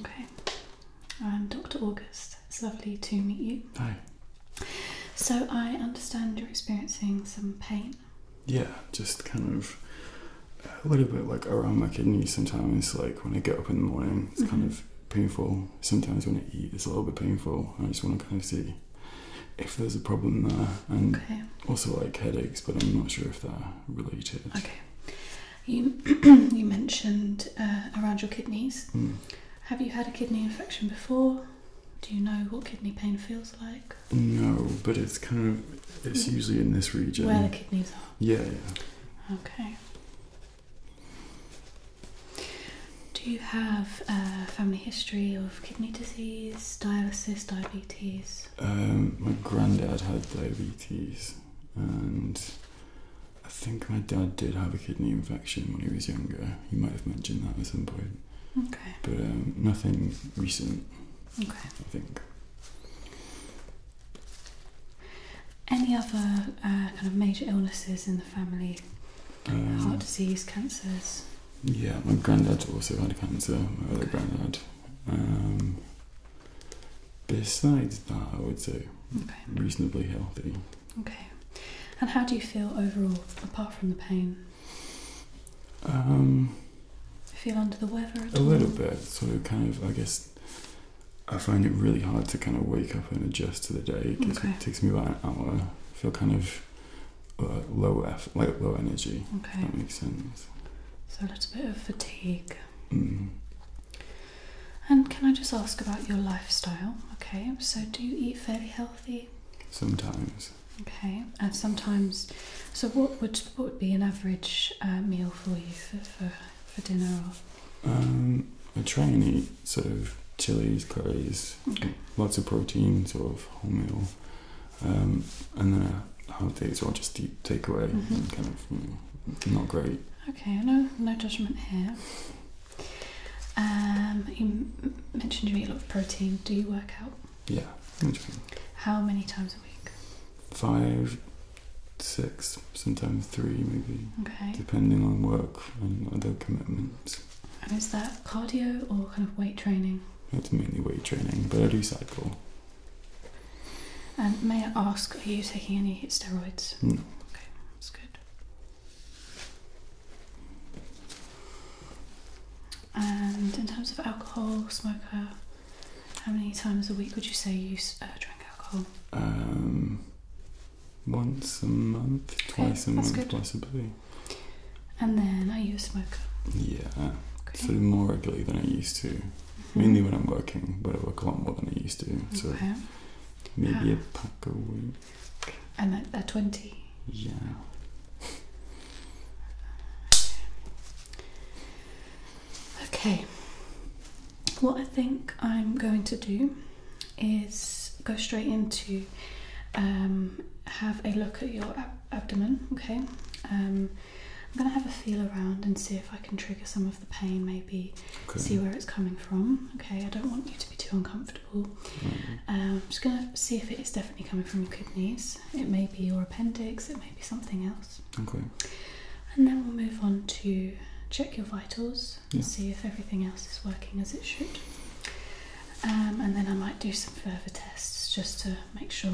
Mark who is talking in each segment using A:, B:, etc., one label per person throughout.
A: Okay, I'm Dr. August. It's lovely to meet you. Hi. So, I understand you're experiencing some pain.
B: Yeah, just kind of a little bit like around my kidneys sometimes. Like when I get up in the morning, it's kind mm-hmm. of painful. Sometimes when I eat, it's a little bit painful. I just want to kind of see if there's a problem there, and also like headaches, but I'm not sure if they're
A: related. Okay. You you mentioned uh, around your kidneys. Hmm. Have you had a kidney infection before? Do you know what kidney pain feels like?
B: No, but it's kind of it's hmm. usually in this region where the kidneys are. Yeah,
A: Okay. Do you have a family history of kidney disease, dialysis, diabetes? Um,
B: my granddad had diabetes and I think my dad did have a kidney infection when he was younger. He might have mentioned that at some point. Okay. But um, nothing recent. Okay. I think.
A: Any other uh, kind of major illnesses in the family? Um, heart disease, cancers?
B: Yeah, my granddad also had cancer, my other granddad. Um, besides that, I would say reasonably healthy.
A: Okay. And how do you feel overall, apart from the pain?
B: Um,
A: I feel under the weather a all? little bit.
B: So kind of, I guess, I find it really hard to kind of wake up and adjust to the day. It, okay. it takes me about an hour. I feel kind of uh, low effort, like low energy. Okay. that makes sense.
A: So a little bit of fatigue. Mm. And can I just ask about your lifestyle? Okay, so do you eat fairly healthy?
B: Sometimes.
A: Okay, and sometimes. So what would what would be an average uh, meal for you for for, dinner?
B: Um, I try and eat sort of chilies, curries, lots of protein, sort of whole um, and then holidays or just deep takeaway mm-hmm. kind of mm, not great.
A: Okay, no, no judgment here. Um, you mentioned you eat a lot of protein. Do you work out? Yeah. How many times a week?
B: Five, six, sometimes three, maybe. Okay. Depending on work and other commitments.
A: And is that cardio or kind of weight training?
B: It's mainly weight training, but I do cycle.
A: And may I ask, are you taking any steroids? No. Okay, that's good. And in terms of alcohol, smoker, how many times a week would you say you uh, drink alcohol?
B: Um, once a month, twice a month, possibly.
A: And then, are you a smoker?
B: Yeah, okay. sort of more regularly than I used to. Mainly when I'm working, but I work a lot more than I used to. So maybe a pack a week.
A: And that, that 20? Yeah. Okay. What I think I'm going to do is go straight into um, have a look at your abdomen, okay? Um, I'm going to have a feel around and see if I can trigger some of the pain, maybe okay. see where it's coming from. Okay, I don't want you to be too uncomfortable. Mm I'm just going to see if it is definitely coming from your kidneys. It may be your appendix, it may be something else. Okay. And then we'll move on to check your vitals and see if everything else is working as it should. Um, and then I might do some further tests just to make sure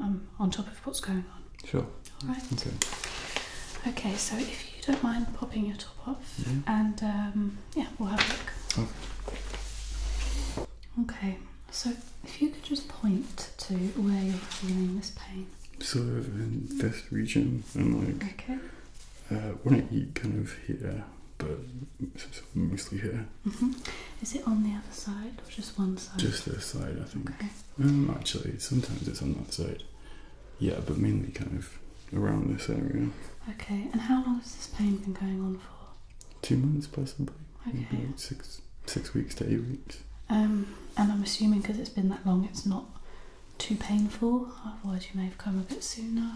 A: I'm on top of what's going on.
B: Sure. All right.
A: Okay. So if you don't mind popping your top off, and um, yeah, we'll have a look. Okay. Okay. So if you could just point to where you're feeling this pain.
B: Sort of in this region, and like okay. uh, when I eat, kind of here, but mostly here.
A: Mm-hmm. Is it on the other side or just one side? Just
B: this side, I think. Okay. Um, actually, sometimes it's on that side. Yeah, but mainly kind of around this area.
A: Okay, and how long has this pain been going on for?
B: Two months, possibly. Okay. six, six weeks to eight weeks.
A: Um, and I'm assuming because it's been that long, it's not too painful. Otherwise, you may have come a bit sooner.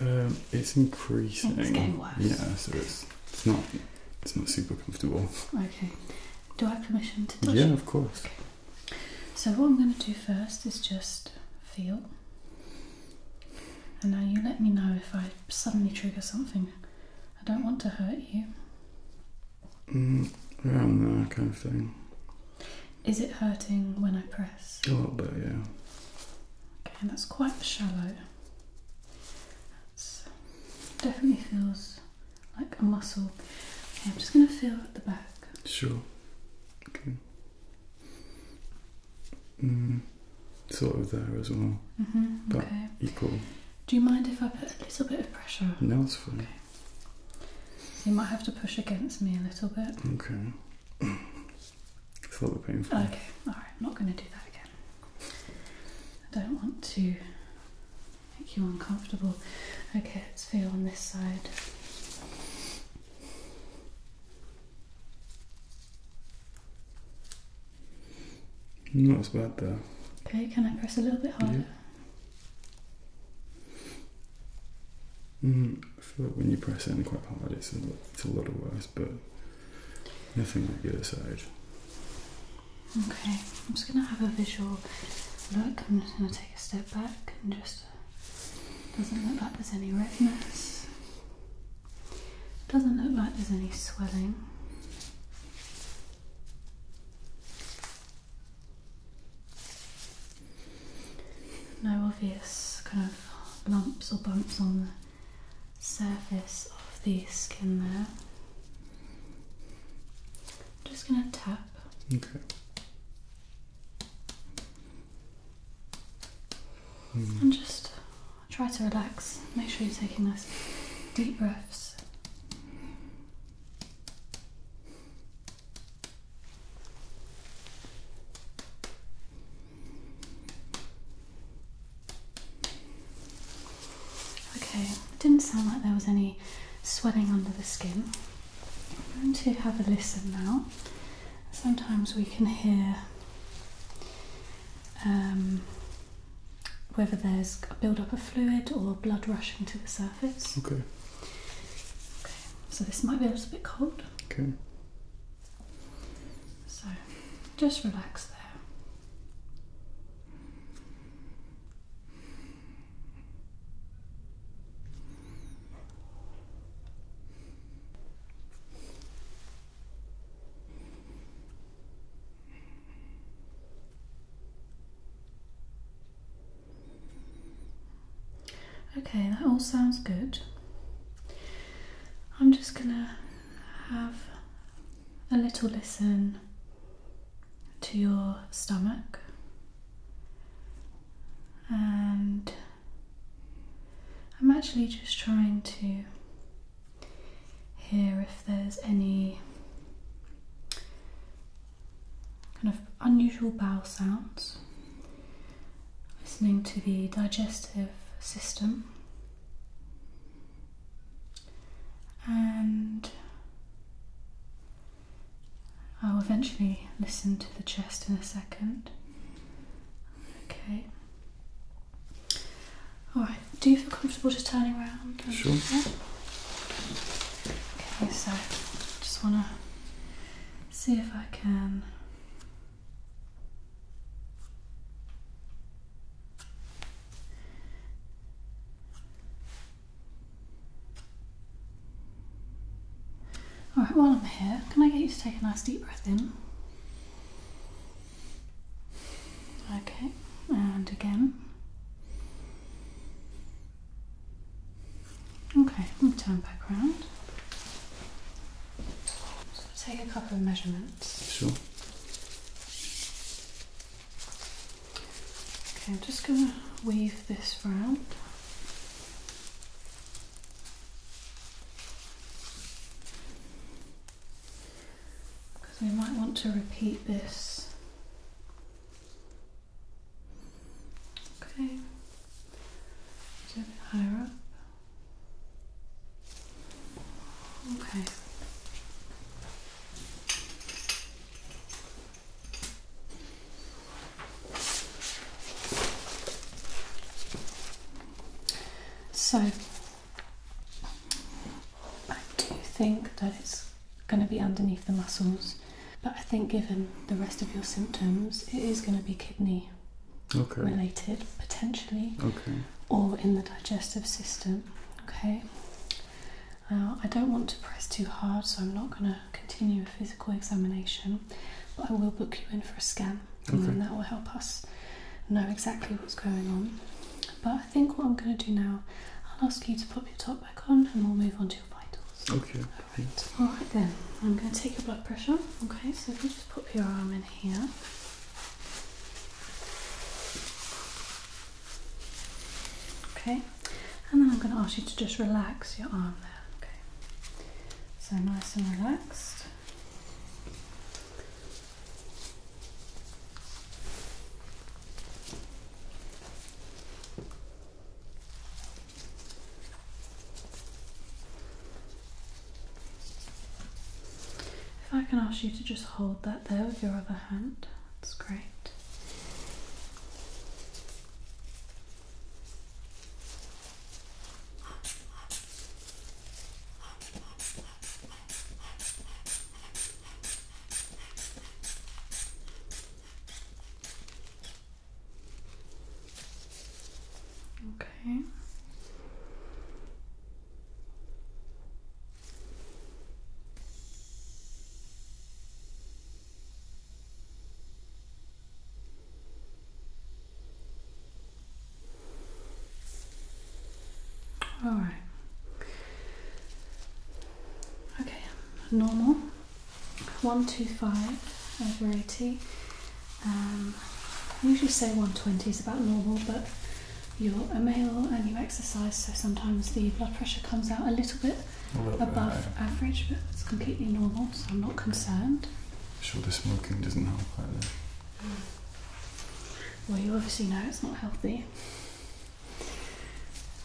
B: Um, it's increasing. It's getting worse. Yeah, so it's it's not it's not super comfortable.
A: Okay. Do I have permission to touch Yeah, of course. Okay. So what I'm going to do first is just feel. And now you let me know if I suddenly trigger something. I don't want to hurt you.
B: Mm, around kind of thing.
A: Is it hurting when I press?
B: A bit, yeah.
A: Okay, and that's quite shallow. That's definitely feels like a muscle. Okay, I'm just going to feel at the back.
B: Sure. Okay. Mm, sort of there as well.
A: Mm -hmm, but okay. equal. Do you mind if I put a little bit of pressure?
B: No, it's fine.
A: you might have to push against me a little bit.
B: Okay. it's a
A: little painful. Okay, alright, I'm not going to do that again. I don't want to make you uncomfortable. Okay, let's feel on this side.
B: Not as bad though.
A: Okay, can I press a little bit harder? Yeah.
B: Mm, I feel like when you press in quite hard, it's a, it's a little worse, but nothing on the other side.
A: Okay, I'm just going to have a visual look. I'm just going to take a step back and just. Doesn't look like there's any redness. Doesn't look like there's any swelling. No obvious kind of lumps or bumps on the surface of the skin there. I'm just gonna tap. Okay. Hmm. And just try to relax. Make sure you're taking nice deep breaths. Okay, it didn't sound like there was any sweating under the skin. I'm going to have a listen now. Sometimes we can hear um, whether there's a build up of fluid or blood rushing to the surface. Okay. Okay, so this might be a little bit cold. Okay. So just relax there. Okay, that all sounds good. I'm just gonna have a little listen to your stomach and I'm actually just trying to hear if there's any kind of unusual bowel sounds listening to the digestive system and I'll eventually listen to the chest in a second. Okay. Alright, do you feel comfortable just turning around? Sure. Okay, so just want to see if I can. Alright, while I'm here, can I get you to take a nice deep breath in? Okay, and again. Okay, turn back round. So take a couple of measurements. Sure. Okay, I'm just going to weave this round. Because we might want to repeat this. Okay, a bit higher up. Okay. So, I do think that it's going to be underneath the muscles, but I think given the rest of your symptoms, it is going to be kidney related potentially, or in the digestive system. Okay, now, uh, I don't want to press too hard, so I'm not going to continue a physical examination, but I will book you in for a scan, and that will help us know exactly what's going on. But I think what I'm going to do now, I'll ask you to pop your top back on and we'll move on to your
B: vitals. Okay. Alright,
A: All right, then, I'm going to take your blood pressure. Okay, so if you just pop your arm in here. Okay, and then I'm going to ask you to just relax your arm there. Okay, so nice and relaxed. If I can ask you to just hold that there with your other hand. That's great. Okay. All right. Okay, normal 125 over 80. Um, usually say 120 is about normal, but you're a male and you exercise, so sometimes the blood pressure comes out a little bit above average, but it's completely normal, so I'm not concerned.
B: sure the smoking doesn't help either.
A: Mm. Well, you obviously know it's not healthy.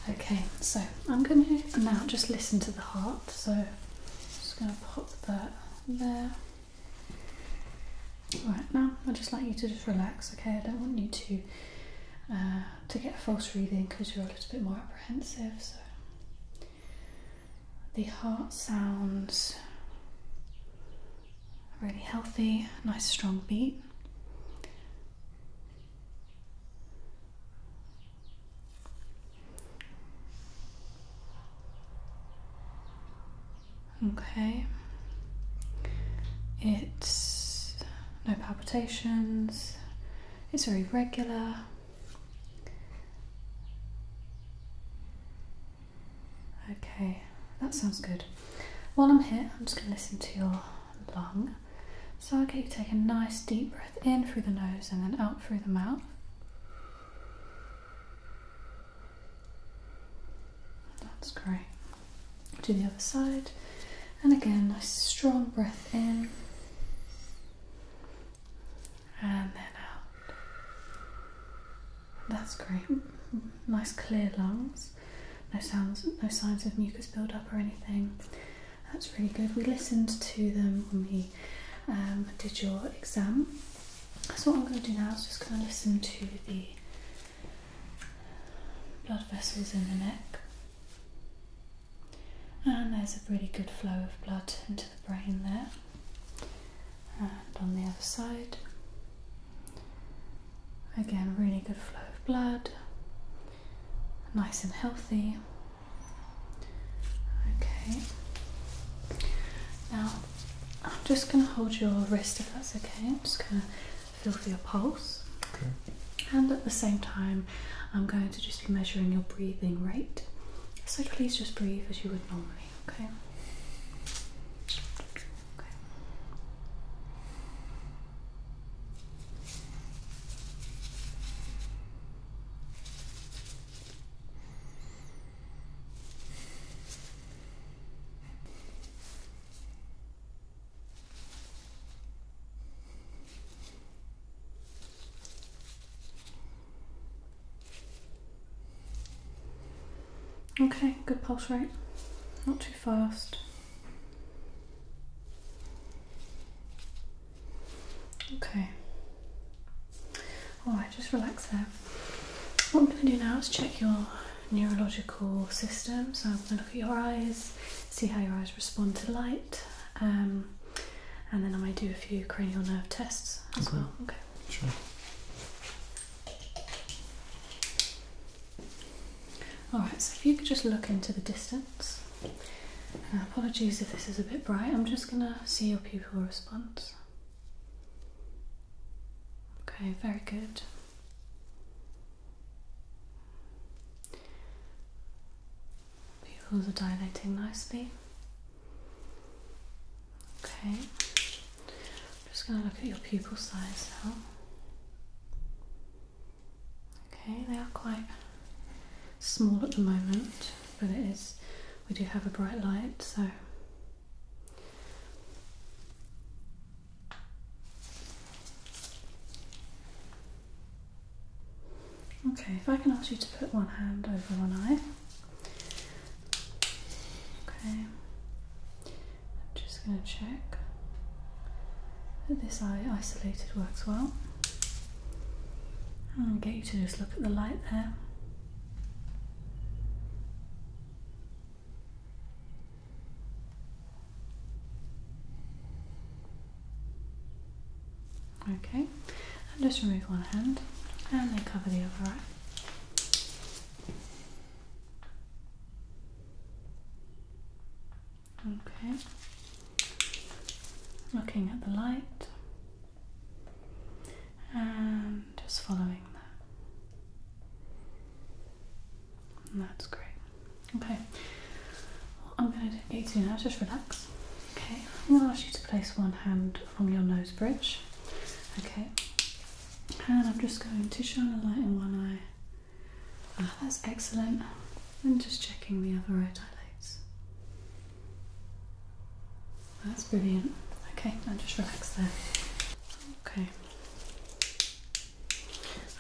A: Okay, so I'm going to now just listen to the heart, so just going to pop that there. Right now, I'd just like you to just relax, okay? I don't want you to. Uh, to get a false reading because you're a little bit more apprehensive. So the heart sounds really healthy, nice strong beat. Okay, it's no palpitations, it's very regular. Okay, that sounds good. While I'm here, I'm just going to listen to your lung. So I'll get you take a nice deep breath in through the nose and then out through the mouth. That's great to the other side, and again, nice strong breath in and then out. That's great. Nice clear lungs. No sounds, no signs of mucus buildup or anything. That's really good. We listened to them when we um, did your exam. So what I'm going to do now is just going to listen to the blood vessels in the neck. And there's a really good flow of blood into the brain there. And on the other side, again, really good flow of blood, nice and healthy. Okay, now I'm just going to hold your wrist if that's okay. I'm just going to feel for your pulse. And at the same time, I'm going to just be measuring your breathing rate. So please just breathe as you would normally, Okay. Okay, good pulse rate. Not too fast. Okay. Alright, just relax there. What I'm going to do now is check your neurological system. So I'm going to look at your eyes, see how your eyes respond to light, um, and then I may do a few cranial nerve tests as well. Okay. Sure. Alright, so if you could just look into the distance. Uh, apologies if this is a bit bright, I'm just going to see your pupil response. Okay, very good. Pupils are dilating nicely. Okay, I'm just going to look at your pupil size now. Okay, they are quite small at the moment, but it is, we do have a bright light, so Okay, if I can ask you to put one hand over one eye. Okay, I'm just going to check that this eye isolated works well. I'm going to get you to just look at the light there. Okay, and just remove one hand and then cover the other eye. Okay, looking at the light and just following that that's great. Okay. I'm going to get you now. Just relax. Okay. I'm going to ask you to place one hand on your nose bridge. Okay. And I'm just going to shine a light in one eye. Ah, that's excellent. i just checking the other right eyelids. That's brilliant. Okay, now just relax there. Okay.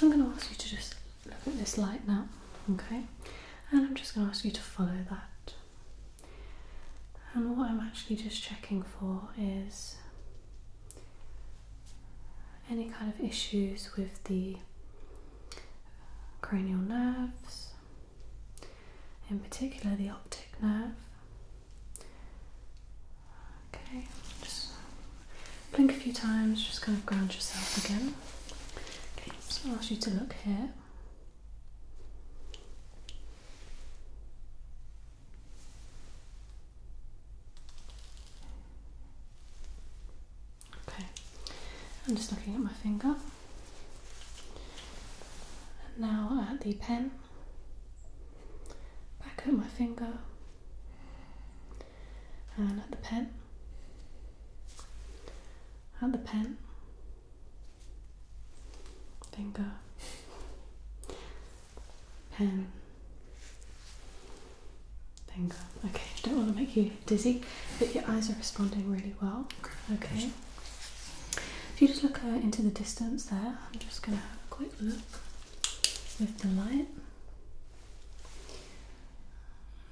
A: I'm going to ask you to just look at this light now, okay? And I'm just going to ask you to follow that. And what I'm actually just checking for is any kind of issues with the cranial nerves, in particular the optic nerve, Okay, just blink a few times, just kind of ground yourself again. Okay, so I'll ask you to look here. Okay, I'm just looking at my finger. And now at the pen, back at my finger, and uh, at the pen, And the pen, finger, pen, finger. Okay, don't want to make you dizzy, but your eyes are responding really well. Okay. If you just look uh, into the distance there, I'm just going to have a quick look with the light.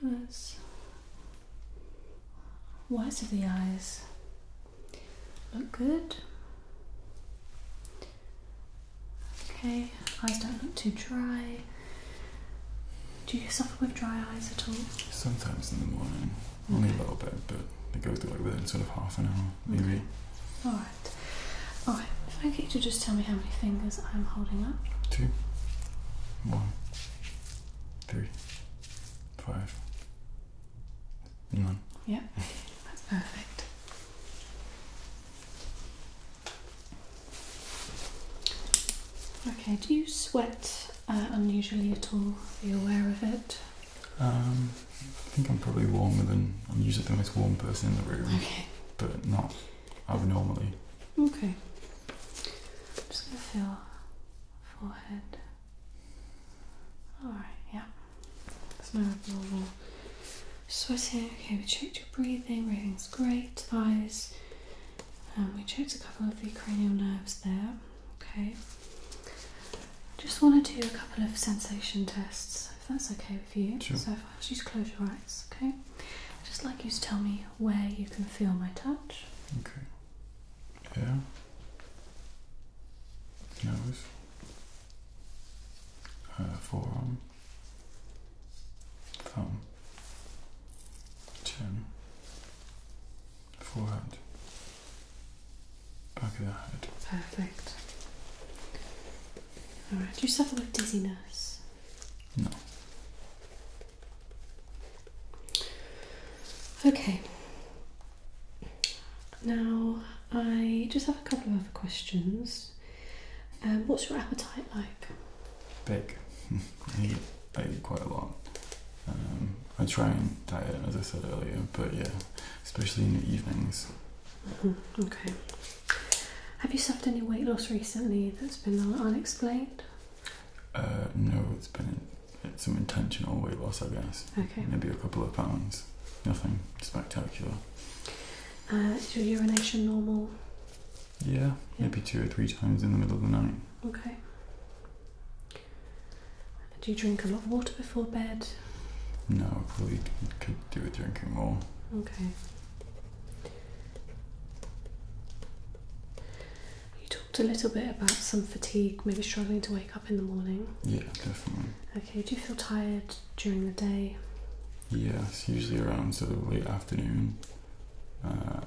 A: That's whites of the eyes look good. Okay, eyes don't look too dry. Do you suffer with dry eyes at all?
B: Sometimes in the morning, only a little bit, but it goes away within sort of half an hour, maybe.
A: All right. Okay. if I could, you just tell me how many fingers I'm holding up.
B: Two, one, three, five, none.
A: Yep, that's perfect. Okay, do you sweat uh, unusually at all? Are you aware of it?
B: Um, I think I'm probably warmer than I'm usually the most warm person in the room, okay. but not abnormally.
A: Okay. just gonna feel forehead. Alright, yeah. There's no abnormal sweating. Okay, we checked your breathing, breathing's great, eyes. And um, we checked a couple of the cranial nerves there. Okay. Just want to do a couple of sensation tests, if that's okay for you so far. Just close your eyes, okay? i just like you to tell me where you can feel my touch.
B: Okay. Yeah. Nose. Uh, forearm. Thumb. Chin. Forehead. Back of the head.
A: Perfect. Alright, do you suffer with dizziness? No. Okay. Now, I just have a couple of other questions. Um, what's your appetite like?
B: Big. I eat, I eat quite a lot. Um, I try and diet, as I said earlier, but yeah, especially in the evenings.
A: Okay. Have you suffered any weight loss recently that's been unexplained?
B: Uh, no, it's been some intentional weight loss, I guess. Okay. Maybe a couple of pounds. Nothing spectacular.
A: Uh, is your urination normal?
B: Yeah, maybe two or three times in the middle of the night.
A: Okay. Do you drink a lot of water before bed?
B: No, probably could do with drinking more.
A: Okay. You talked a little bit about some fatigue, maybe struggling to wake up in the morning. Yeah, definitely. Okay, do you feel tired during the day?
B: Yes, usually around sort of late afternoon. Uh,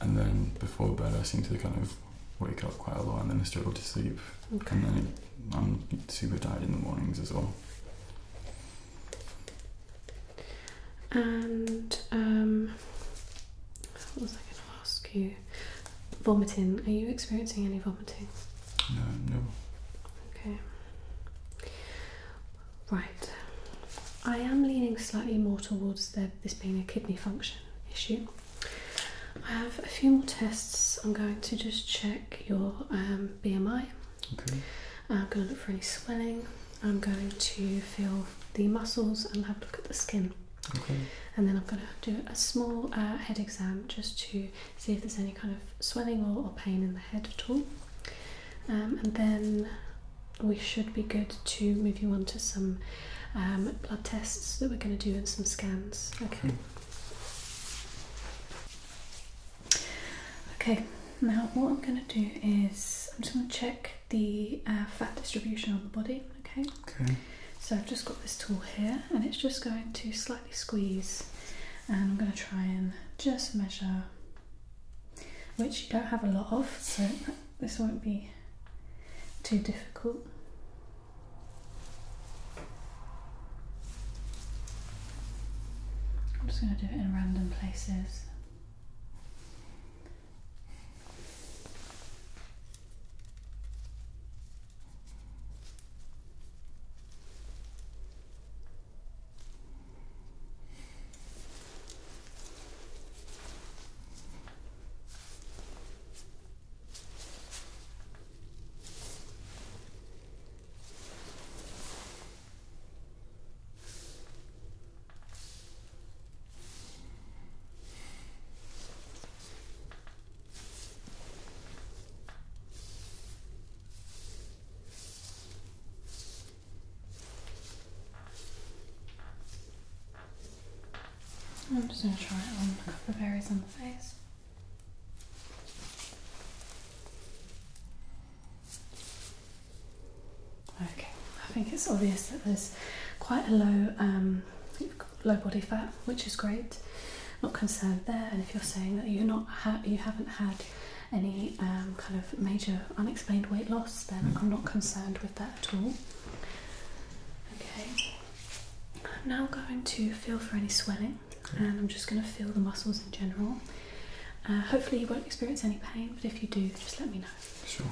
B: and then before bed, I seem to kind of wake up quite a lot and then struggle to sleep. Okay. And then I'm super tired in the mornings as well.
A: And um, what was I going to ask you? Vomiting. Are you experiencing any vomiting? No, no. Okay. Right. I am leaning slightly more towards the, this being a kidney function issue. I have a few more tests. I'm going to just check your um, BMI. Okay. I'm going to look for any swelling. I'm going to feel the muscles and have a look at the skin. Okay. And then I'm going to do a small uh, head exam just to see if there's any kind of swelling or, pain in the head at all. Um, and then we should be good to move you on to some um, blood tests that we're going to do and some scans. okay. Hmm. Okay, now what I'm going to do is I'm just going to check the uh, fat distribution on the body. Okay. Okay. So I've just got this tool here, and it's just going to slightly squeeze, and I'm going to try and just measure, which you don't have a lot of, so this won't be too difficult. I'm just going to do it in random places. I'm just going to try a couple of berries on the face. Okay, I think it's obvious that there's quite a low um, low body fat, which is great. Not concerned there. And if you're saying that you're not you haven't had any um, kind of major unexplained weight loss, then I'm not concerned with that at all. Okay. I'm now going to feel for any swelling and I'm just going to feel the muscles in general. Uh, hopefully, you won't experience any pain, but if you do, just let me know. Sure.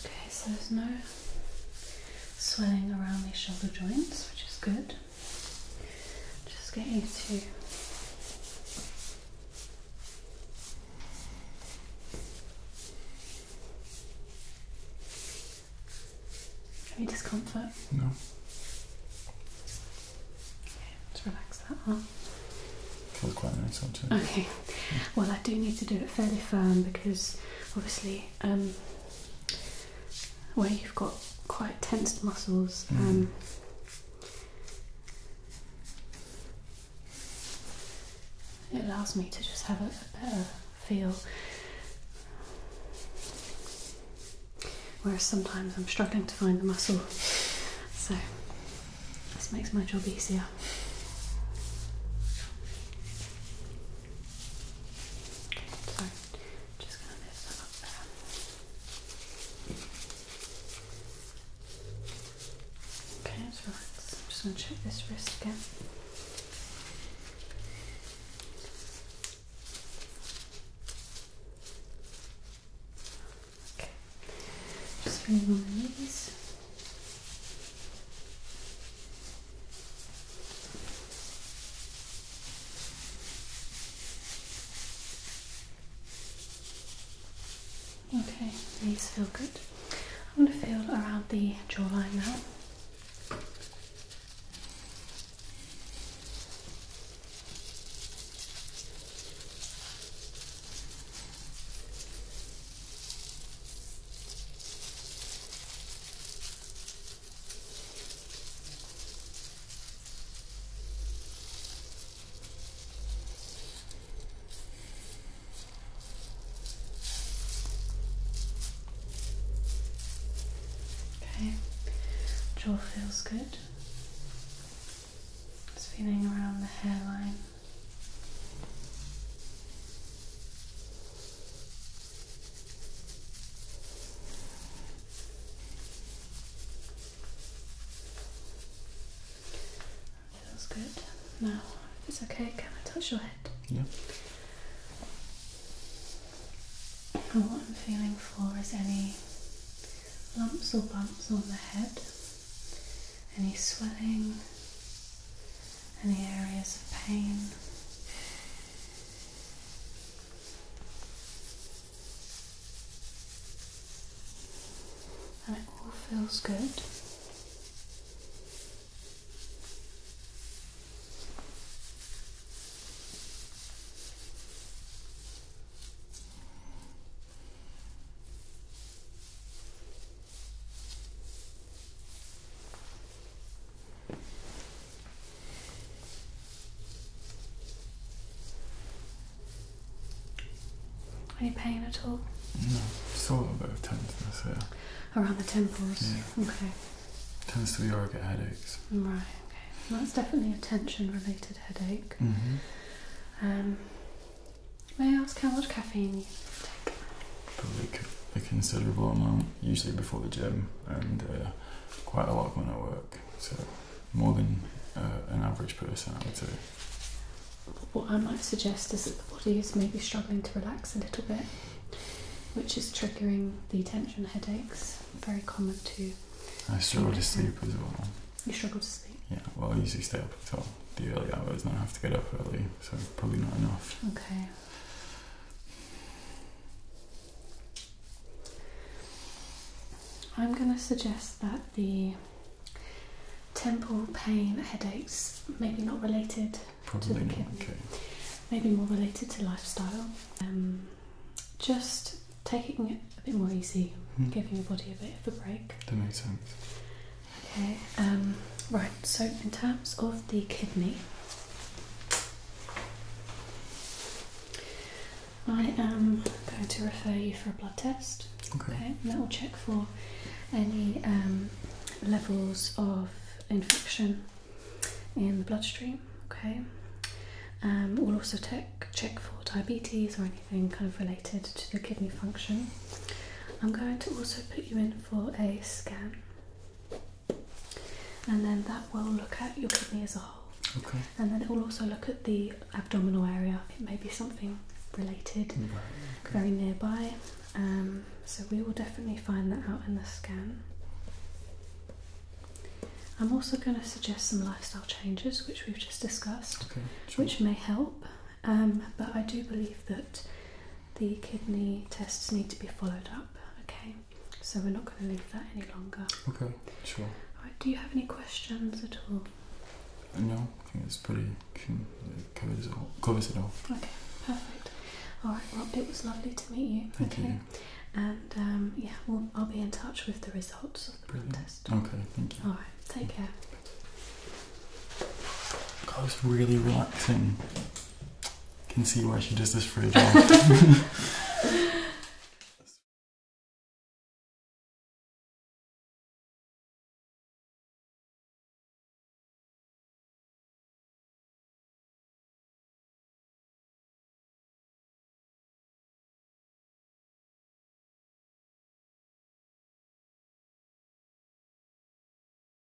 A: Okay, so there's no sweating around these shoulder joints, which is good. Just get you to any discomfort? No. Okay, just relax that arm. Feels quite nice on Okay. Well, I do need to do it fairly firm because obviously um, where you've got quite tensed muscles. Mm. Um, it allows me to just have a, a better feel. Whereas sometimes I'm struggling to find the muscle, so this makes my job easier. Okay, so just gonna lift that up Okay, let's relax. I'm just gonna check this wrist again. Okay, just bring my knees. Okay, these feel good. I'm going to feel around the jawline now. Okay, jaw feels good. It's feeling around the hairline. Feels good. Now, if it's okay, can I touch your head? Yeah. And what I'm feeling for is any lumps or bumps on the head, any swelling, any areas of pain. And it all feels good. Any pain at all?
B: No, sort of a bit of tenderness here.
A: Around the temples? Yeah. Okay.
B: Tends to be where I get headaches.
A: Right, okay. that's definitely a tension related headache. -hmm. um, may I ask how much caffeine
B: Probably a considerable amount, usually before the gym, and uh, quite a lot when I work. So more than uh, an average person, I would say.
A: What I might suggest is that the body is maybe struggling to relax a little bit, which is triggering the tension headaches. Very common too. I struggle to sleep as well. You struggle to sleep.
B: Yeah, well, I usually stay up until the early hours, and I have to get up early, so probably not enough.
A: Okay. I'm going to suggest that the temple pain headaches maybe not related to the kidney, maybe more related to lifestyle. Um, just taking it a bit more easy, hmm. giving your body a bit of a break. That makes sense. Okay, um, right, so in terms of the kidney, I am going to refer you for a blood test. Okay. that will check for any um, levels of infection in the bloodstream. Okay. Um, we'll also tech, check for diabetes or anything kind of related to the kidney function. I'm going to also put you in for a scan and then that will look at your kidney as a whole. And then it will also look at the abdominal area. It may be something related, very nearby. Um, so we will definitely find that out in the scan. I'm also going to suggest some lifestyle changes, which we've just discussed, which may help. Um, but I do believe that the kidney tests need to be followed up. Okay, so we're not going to leave that any longer.
B: Okay, sure.
A: do you have any questions at all?
B: No, I think it's pretty it covers it all. it all.
A: Okay, perfect. All right, well, it was lovely to meet you. Thank okay. you. And um, yeah, we I'll be in touch with the results of the Brilliant. blood test. Okay, thank you. All right, take care.
B: God, was really relaxing can see why she does this for a job.